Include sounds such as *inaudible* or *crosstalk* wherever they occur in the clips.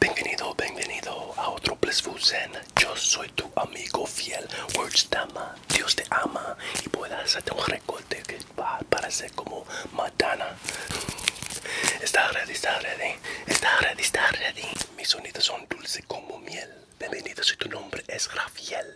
Bienvenido, bienvenido a otro Blissful Zen. Yo soy tu amigo fiel, dama, Dios te ama y puedas hacerte un recorte que va a parecer como Madonna. Está ready, está ready, está ready, está ready. Mis sonidos son dulces como miel. Bienvenido si tu nombre es Rafiel.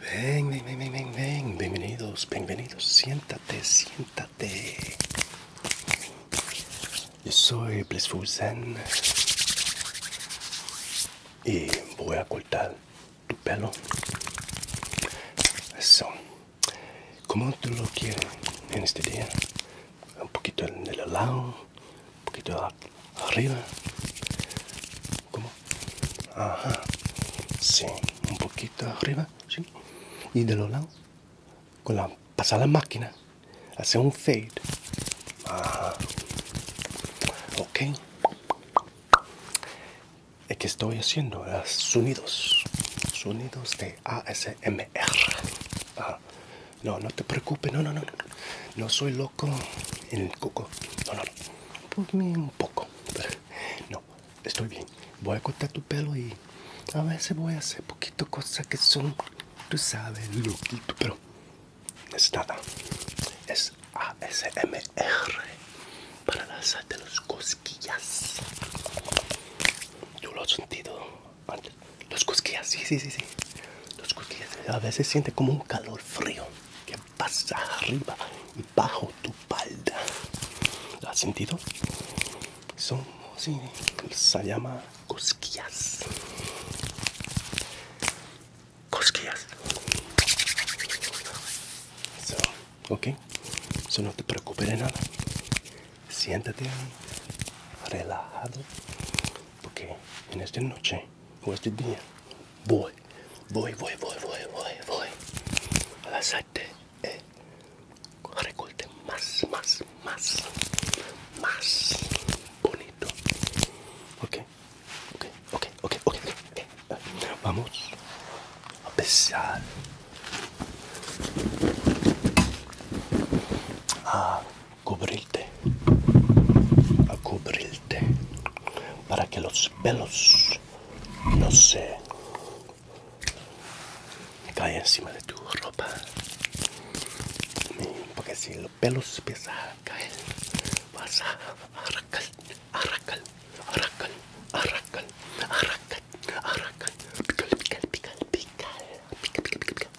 Ven, ven, ven, ven, ven, bienvenidos, bienvenidos, siéntate, siéntate. Yo soy Blissful Zen y voy a cortar tu pelo. Eso. Como tú lo quieres en este día. Un poquito el lado, un poquito arriba. ¿Cómo? Ajá. Sí, un poquito arriba y de los lados con la pasada máquina hace un fade ok es que estoy haciendo sonidos sonidos de ASMR no no te preocupes no no no no soy loco en el coco no no no un poco no estoy bien. Voy a cortar tu pelo y a veces voy a hacer poquito cosas que son, tú sabes, loquito, pero es nada. Es ASMR para las los cosquillas. Yo lo he sentido antes. Los cosquillas, sí, sí, sí, sí. Los cosquillas. A veces siente como un calor frío que pasa arriba bajo tu palda. ¿Lo has sentido? Son, así se llama cosquillas. Cosquillas. ok, eso no te preocupes de nada. Siéntate relajado porque en esta noche o este día voy, voy, voy, voy, voy, voy, voy a y eh, más, más, más, más bonito. Ok, ok, ok, ok, ok. Eh, vamos a empezar a cubrirte, a cubrirte para que los pelos no se cae encima de tu ropa porque si los pelos empiezan a caer vas a pical, pical, pical, pical,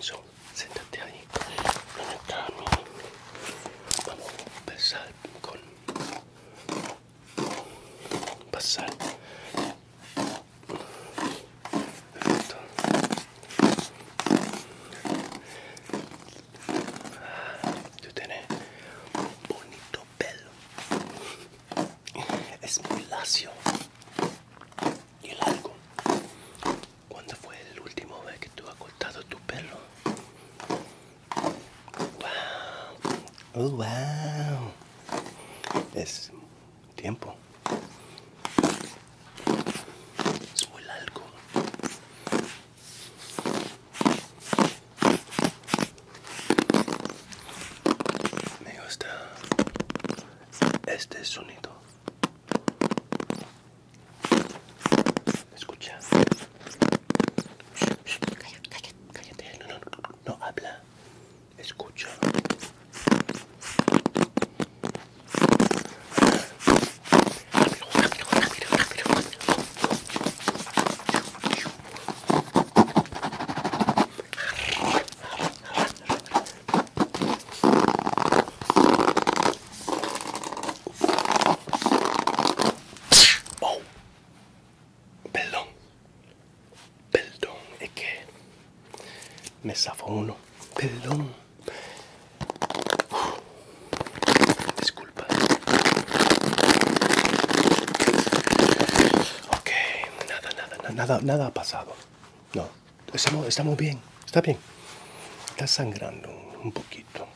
so ahí vamos a empezar con pasar tú tienes bonito pelo es muy lacio y largo ¿Cuándo fue el último vez que tú has cortado tu pelo? Wow. Oh, wow. Es tiempo. Es muy largo. Me gusta este sonido. Escucha. Cállate, cállate, No, habla. Escucha. Perdón. Perdón, es que me zafó uno. Perdón. Disculpa. Ok, nada, nada, nada, nada, ha pasado. No, estamos bien. Está bien. Está sangrando un poquito.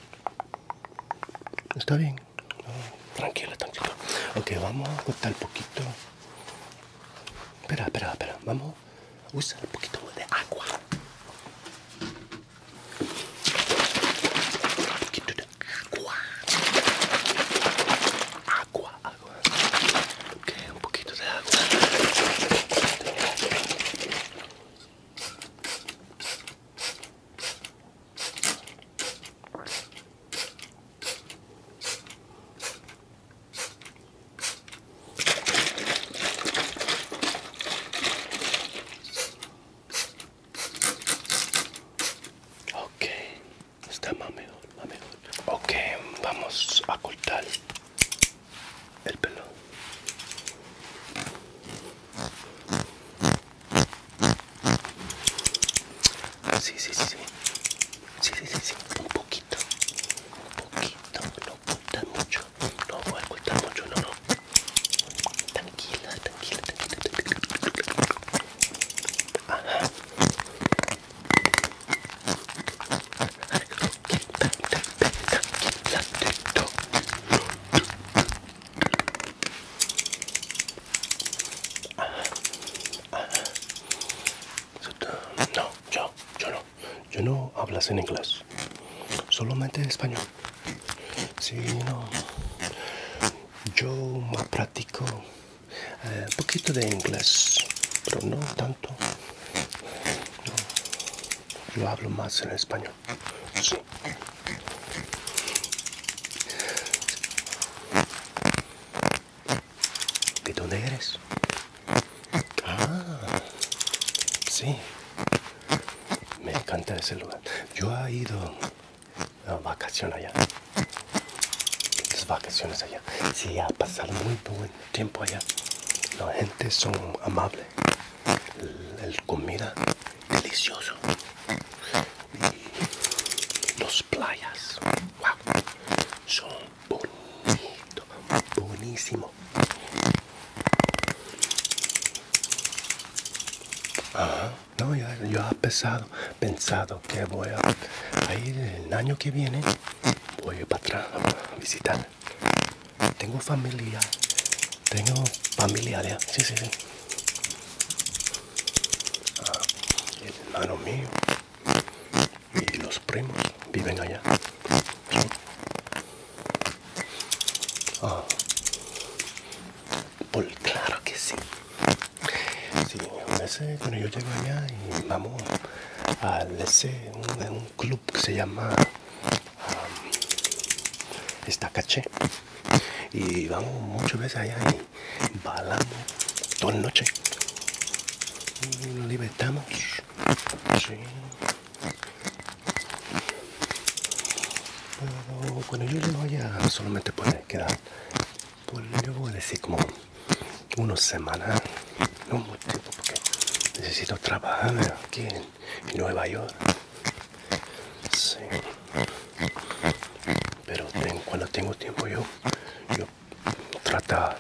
Está bien tranquilo, tranquilo. Ok, vamos a cortar un poquito. Espera, espera, espera. Vamos a usar un poquito de agua. Un poquito de agua. Agua, agua. Ok, un poquito de agua. Ok, está más mejor, más mejor. Ok, vamos a cortar el pelo. Sí, sí, sí, sí. Sí, sí, Un poquito. Un poquito. No mucho. No voy a mucho, no, no. Tranquila, tranquila, tranquila. No, yo, yo no. Yo no hablas en inglés. Solamente español. Sí, no. Yo más practico eh, un poquito de inglés, pero no tanto. No. Yo hablo más en español. Sí. ¿De dónde eres? Ah, sí. Me encanta ese lugar. Yo he ido a vacaciones allá. Las vacaciones allá. Sí, ha pasado muy buen tiempo allá. La gente son amable. la comida delicioso. las playas, wow, son bonitos buenísimo. No, yo, yo he pensado, pensado que voy a, ir el año que viene, voy para atrás a visitar. Tengo familia, tengo familia sí, sí, sí. Ah, el hermano mío y los primos viven allá. Ah. por, pues claro que sí. Sí, a veces cuando yo llego allá y vamos al ese, un, club que se llama ah, esta caché Y vamos muchas veces allá balamos toda noche y nos mm, libertamos sí. bueno yo no voy a solamente que quedar pues yo voy a decir como una semana no mucho tiempo porque necesito trabajar aquí en, Nueva York pero cuando tengo tiempo yo, yo trata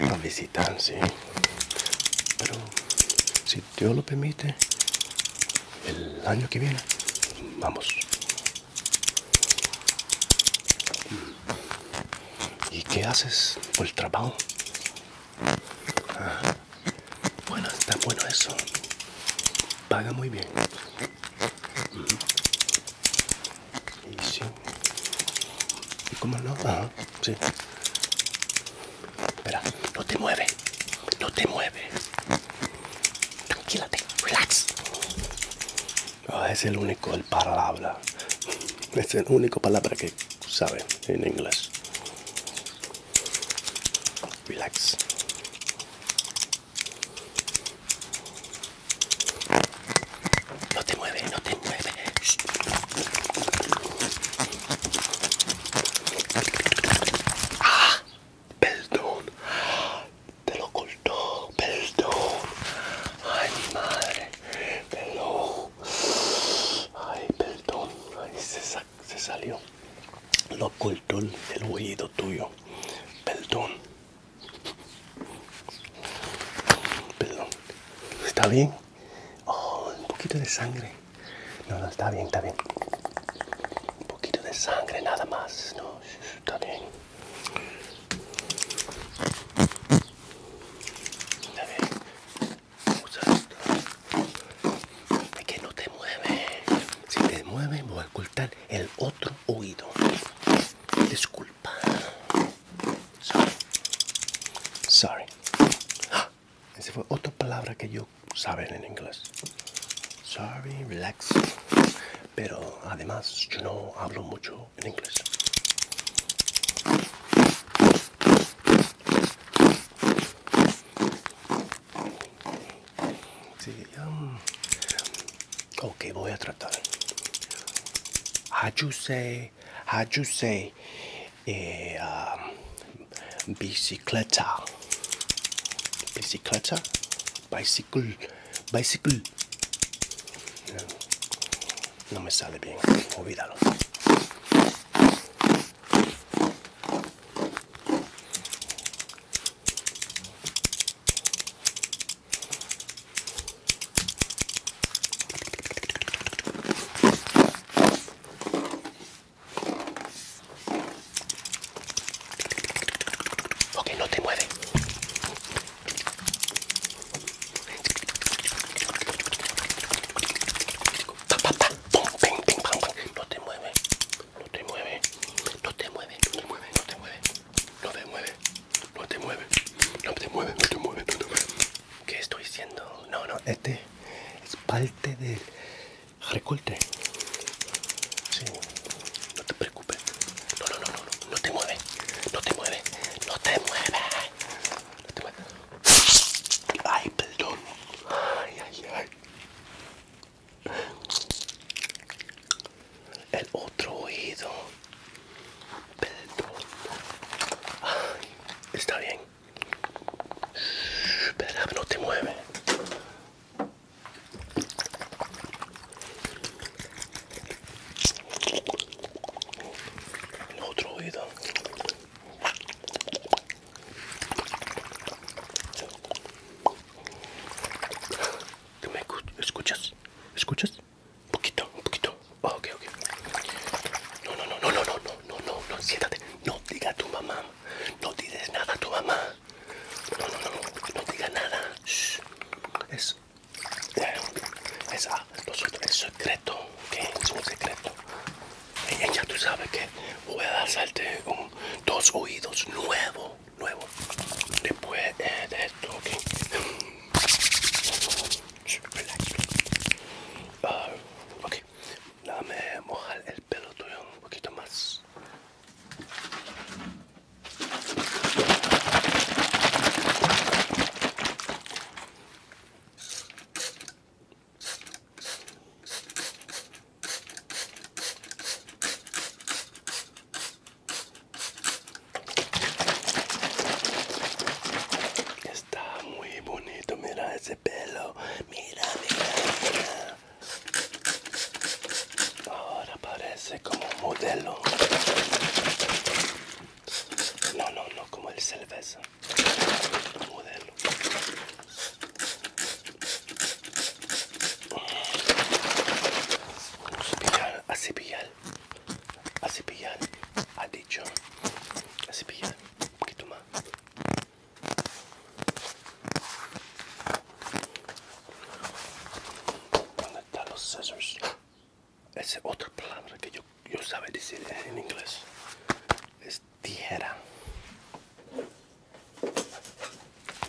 a visitar, sí. ¿eh? Pero si Dios lo permite, el año que viene, vamos. ¿Y qué haces por el trabajo? Ah, bueno, está bueno eso. Paga muy bien cómo no? Ajá, sí. Espera, no te mueve. No te mueve. Tranquilate, relax. Ah, es el único, el palabra. Es el único palabra que sabe en inglés. Relax. No te mueves, no te mueves. Ah, perdón. Te lo ocultó, perdón. Ay, mi madre. Perdón. Ay, perdón. Ay, se, se salió. Lo ocultó el, el tuyo. Perdón. Perdón. ¿Está bien? Oh, un poquito de sangre. No, no, está bien, está bien. Un poquito de sangre, nada más. No, está bien. Está bien. que no te mueve. Si te mueve, voy a ocultar el otro oído. Disculpa. Sorry. Sorry. *gasps* Esa fue otra palabra que yo saben en inglés. Sorry, relax. Pero además yo no hablo mucho en inglés. Um, Ok, voy a tratar. do you say, do you say, eh, um, bicicleta, bicicleta, bicycle, bicycle. no me sale bien, olvídalo. Ok, no te mueve. Pa, pa, pa, pum, ping, ping, No te mueve, no te mueve, no te mueve, no te mueve, no te mueve. No te mueve, no te mueve, no te mueve, no te mueve, no te mueve. ¿Qué estoy diciendo? No, no, este es parte del recorte. Sí, no te preocupes. No, no, no, no, no te mueve, no te mueve, no te mueve. No te mueve. Ay, perdón. Ay, ay, ay. El otro oído. está bien. Espera, no te mueve. El otro oído. ¿Tú me escuchas? ¿Escuchas? Un poquito, un poquito. Ah, okay, ok, ok. No, no, no, no, no, no, no, no, no, siéntate. No diga a tu mamá. No digas nada a tu mamá. No, no, no, no, no nada. Shh. Es, eh, es, ah, es secreto, ok, es un secreto. Ella ya tú sabes que voy a darte un, dos oídos nuevos nuevo después eh, de esto okay. Uh, ok dame mojar el pelo tuyo un poquito más Está muy bonito, mira ese pelo. Mira, mira, mira. Ahora parece como un modelo. No, no, no, como el cerveza. Modelo. Cepillar, a cepillar, a cepillar, ha dicho, a cepillar, un poquito más. ¿Dónde están los scissors? Esa es otra palabra que yo, yo sabe decir en inglés. Es tijera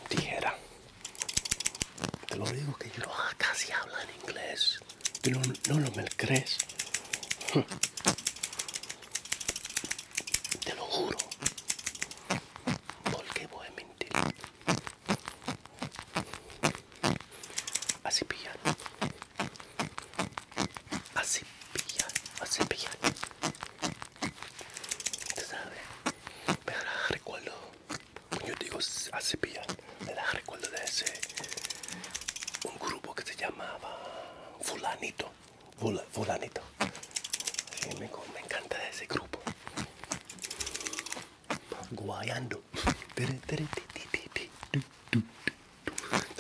tijera. Te lo digo que yo casi hablo en inglés. Pero no, lo me crees. Te lo juro. Porque voy a mentir. Así pilla. Así pillan. Así pilla. Te sabes. Me recuerdo yo digo a me la recuerdo de ese, un grupo que se llamaba Fulanito, Fulanito, me, encanta ese grupo, guayando, ¿te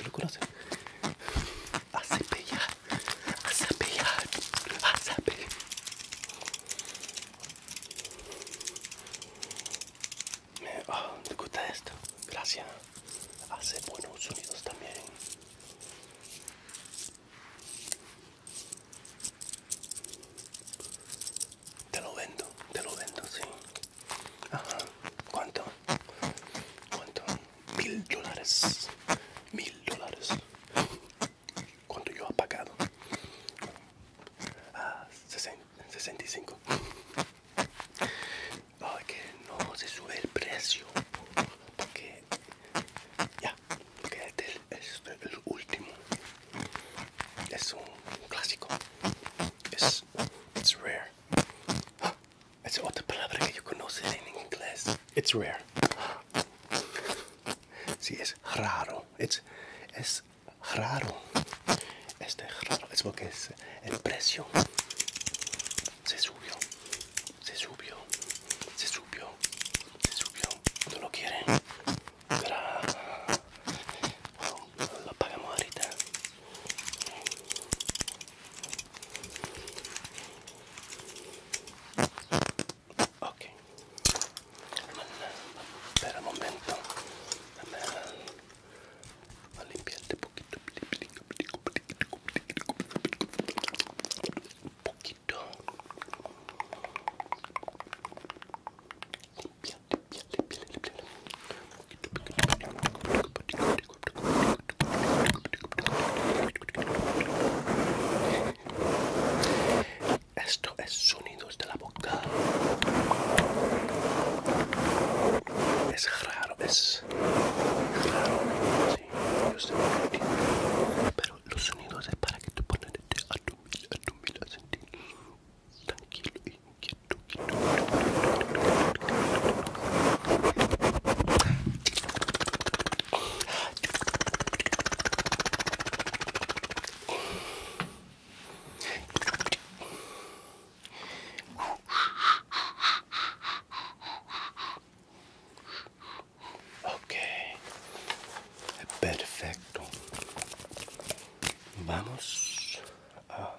lo conoces? A Sevilla, a me, ¿Te ah, gusta esto? Gracias. Hace buenos sonidos también. Te lo vendo, te lo vendo, sí. Ajá. ¿Cuánto? ¿Cuánto? Mil dólares. Mil dólares cuando yo ha pagado? 65 oh, que no se sube el precio porque ya porque este es este el último es un clásico es it's rare *gasps* es otra palabra que yo conozco en inglés it's rare *gasps* sí, es raro it's, es raro. Este es raro, es porque es el precio se subió, se subió, se subió, se subió. No lo quieren, pero lo pagamos ahorita. Okay, un momento. a poquito. Poquito. Limpia, poquito, poquito. Esto es sonidos de la boca. Es raro, es raro. Pero los sonidos es para que te pones a tu mil, a tranquilo Ok, perfecto. Vamos a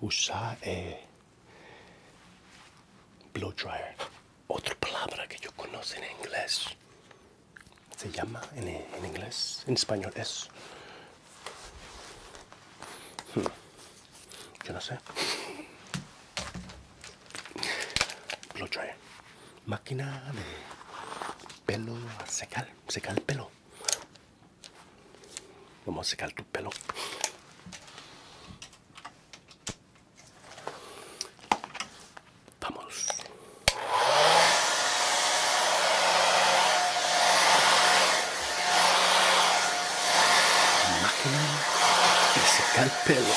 usar el eh, blow dryer. Otra palabra que yo conozco en inglés se llama eh, en, inglés, en español es. Hmm. Yo no sé. lo trae Máquina de pelo a secar, el pelo. Vamos a secar tu pelo. Vamos. Máquina de secar pelo.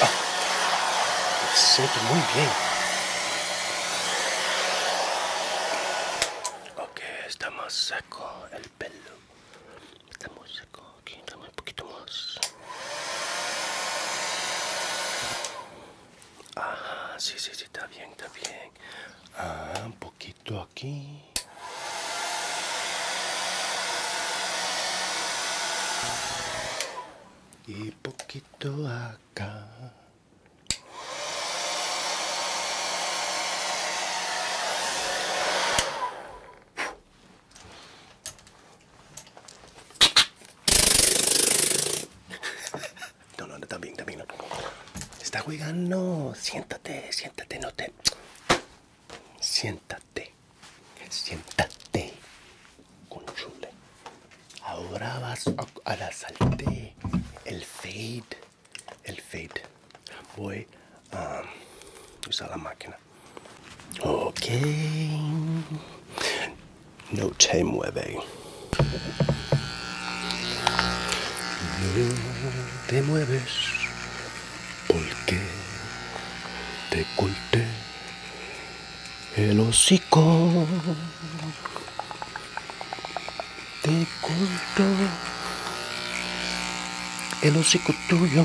Ah, siento muy bien. Ok, está más seco el pelo muy seco aquí dame un poquito más ah sí sí sí está bien está bien ah un poquito aquí y poquito acá no, no, también, también. No. Está jugando. Siéntate, siéntate, no te. Siéntate. Siéntate. Conchule. Ahora vas a la salte. El fade. El fade voy a usar la máquina. Ok. No te mueve. No te mueves porque te culte el hocico. Te culto. el hocico tuyo.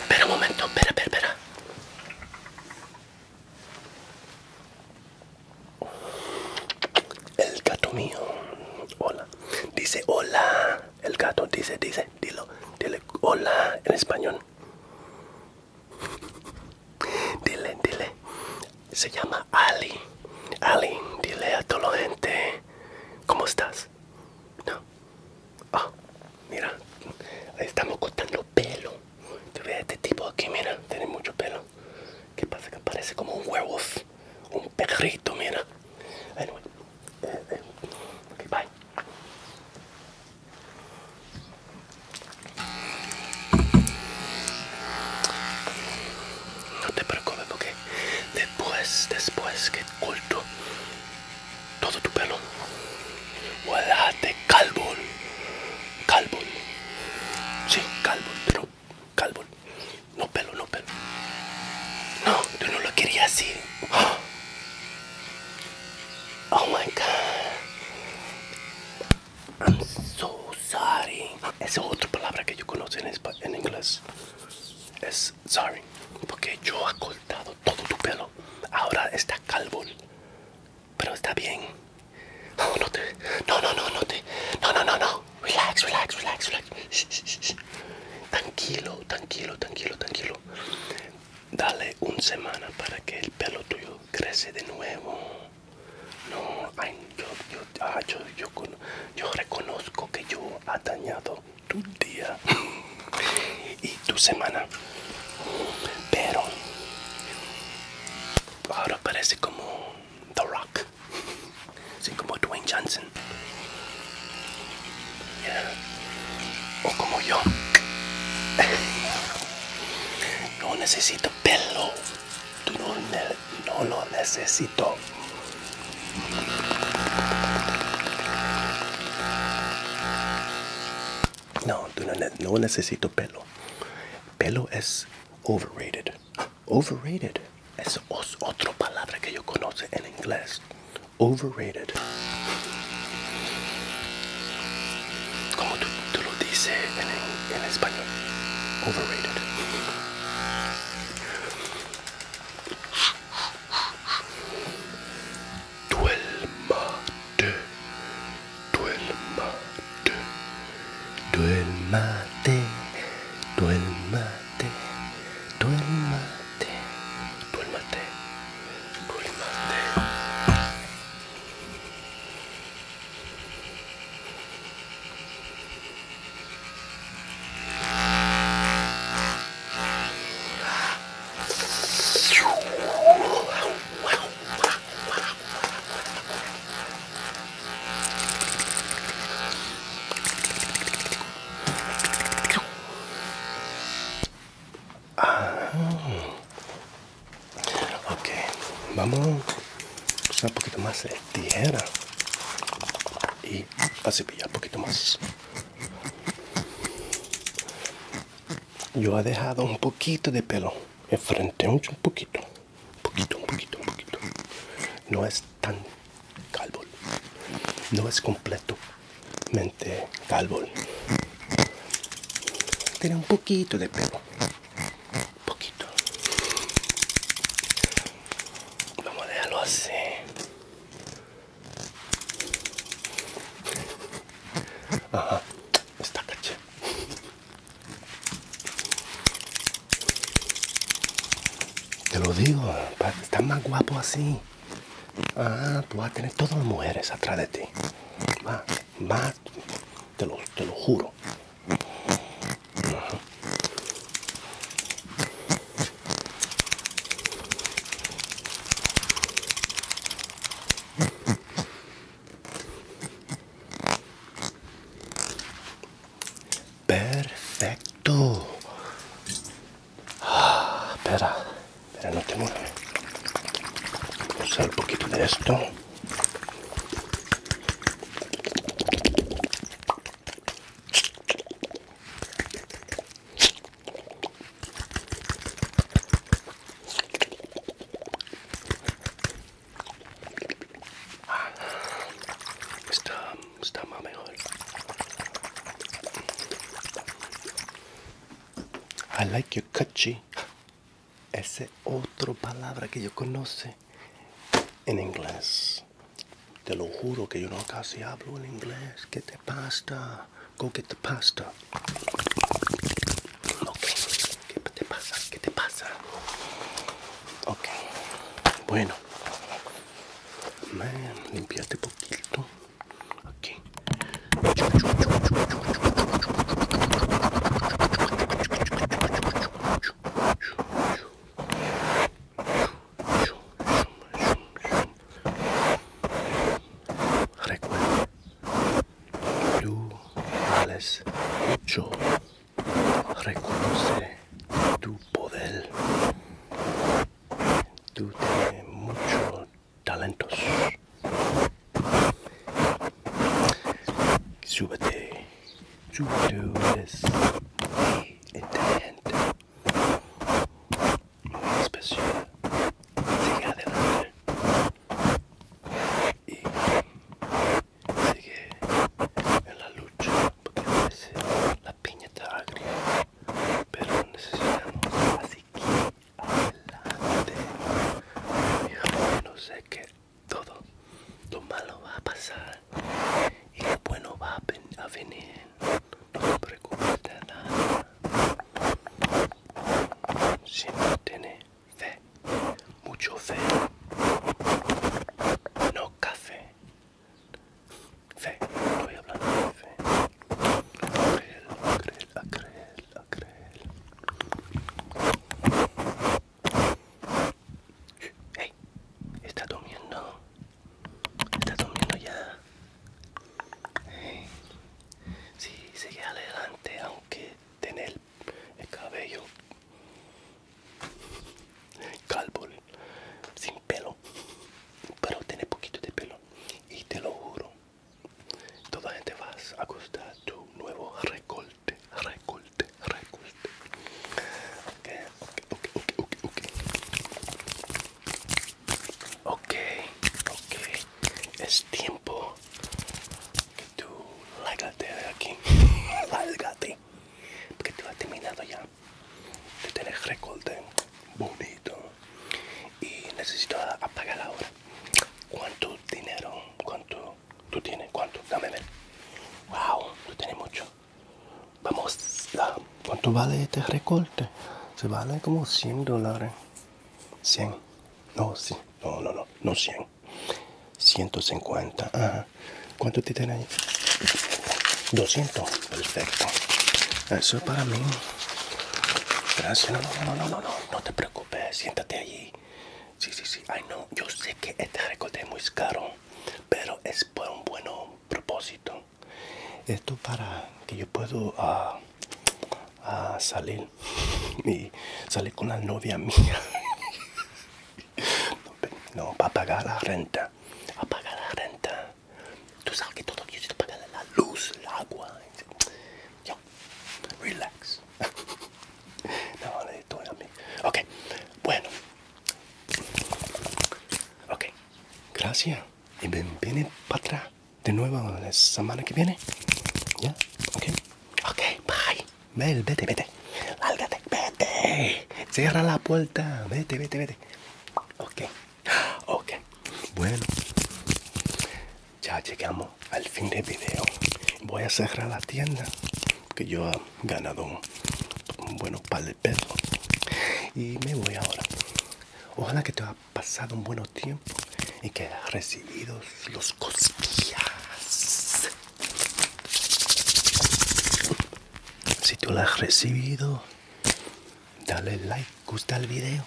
Espera un momento, espera, espera, espera. El gato mío, hola. Dice hola. El gato dice, dice, dilo, dile hola en español. Dile, dile. Se llama Ali. Ali, dile a toda la gente. ¿Cómo estás? No. Ah, mira, estamos cortando pelo. este tipo aquí, mira, tiene mucho pelo. ¿Qué pasa? Que parece como un werewolf, un perrito, mira. Anyway, eh, eh, No te preocupes porque después, después que culto todo tu pelo. Guardate calvo. Calvo. Sí, calvo, pero calvo. No pelo, no pelo. No, yo no lo quería así. Oh my god. I'm so sorry. Esa otra palabra que yo conozco en, en inglés. Es sorry. Porque yo todo tu pelo. Ahora está calvo. Pero está bien. No, oh, no te. No, no, no, no te. No, no, no, no. Relax, relax, relax, Tranquilo, tranquilo, tranquilo, tranquilo. Dale un semana para que el pelo tuyo crece de nuevo. No, yo, yo, ah, yo, yo, yo reconozco que yo ha dañado tu día y tu semana. Pero ahora parece como The Rock, Así como Dwayne Johnson, o como yo. *laughs* No necesito pelo, no lo necesito. No, no, necesito pelo. Pelo es overrated. Overrated es otra palabra que yo conozco en inglés. Overrated. Como tú, lo dices en español. Overrated mate, duelmate, duelmate, duelmate, duelmate, duelmate, mate. Ah. Ok, vamos a un poquito más de tijera y a cepillar un poquito más. Yo ha dejado un poquito de pelo enfrente, mucho, un poquito, un poquito, un poquito, un poquito. No es tan calvo, no es completamente calvo. Tiene un poquito de pelo, poquito. Vamos a dejarlo así está caché. Te lo digo, está más guapo así. Ah, tú pues vas a tener todas las mujeres atrás de ti. Más, te lo, juro. Perfecto. Ah, espera, espera, no te muevas. Vamos un poquito de esto. Ah, está, está más mejor. I like your catchy. Esa otro otra palabra que yo conoce en inglés. Te lo juro que yo no casi hablo en inglés. ¿Qué te pasa? Go get the pasta. Okay. ¿Qué te pasa? ¿Qué te pasa? Okay. Bueno. Man, limpiate poquito. Aquí. Recuerda, tú vales mucho. Reconoce tu poder. Tú tienes mucho talentos. Súbete. Tú eres muy inteligente especial sigue adelante y sigue en la lucha porque parece la piña está agria pero necesitamos así que adelante no sé que todo lo malo va a pasar y lo bueno va a venir no te preocupes nada si no tiene fe, mucho fe, no café. Fe, estoy hablando de fe. a creer, a creer Hey, está durmiendo. Está durmiendo ya si sí, sigue adelante aunque tener el cabello calvo sin pelo pero tiene poquito de pelo y te lo juro toda gente vas a gustar tu nuevo recorte recorte recorte ok ok ok ok ok Ok, ok. Es tiempo que tú lárgate de aquí. *laughs* lárgate. Porque tú has terminado ya. Tú tienes recorte bonito. Y necesito apagar ahora. ¿Cuánto dinero? ¿Cuánto tú tienes? ¿Cuánto? Dame ver. Wow, tú tienes mucho. Vamos, ¿cuánto vale este recorte? Se vale como 100 dólares. 100. No, No, no, no. No 100. 150. Ajá. ¿Cuánto te ahí? 200. Perfecto. Eso es para mí. Gracias. No, no, no, no, no, no. No te preocupes. Siéntate allí. Sí, sí, sí. Ay, no. Yo sé que este recorte es muy caro. Pero es por un buen propósito. Esto para que yo pueda ah, a salir *laughs* y salir con la novia mía *laughs* no, para pagar la renta a pagar la renta tú sabes que todo quiero pagar la luz el agua yo relax *laughs* no a mí ok bueno ok gracias y bienvenido para atrás de nuevo la semana que viene. ¿Ya? ¿Ok? Ok, bye. vete, vete. vete. Cierra la puerta. Vete, vete, vete. Ok. Ok. Bueno. Ya llegamos al fin del video. Voy a cerrar la tienda. Que yo he ganado un, buen par de pesos. Y me voy ahora. Ojalá que te pasado un buen tiempo y que has recibido los cosquillas. Si tú las has recibido, dale like, gusta el video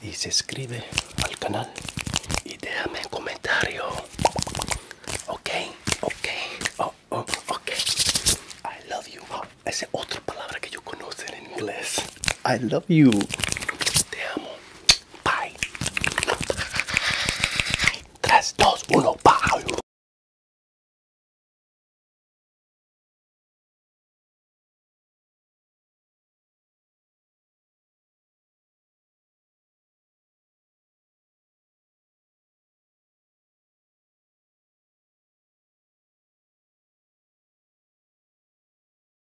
y se suscribe al canal y déjame un comentario. Ok, ok, oh, oh, ok. I love you. esa es otra palabra que yo conozco en inglés. I love you. Te amo. Bye. 3, 2, 1, bye.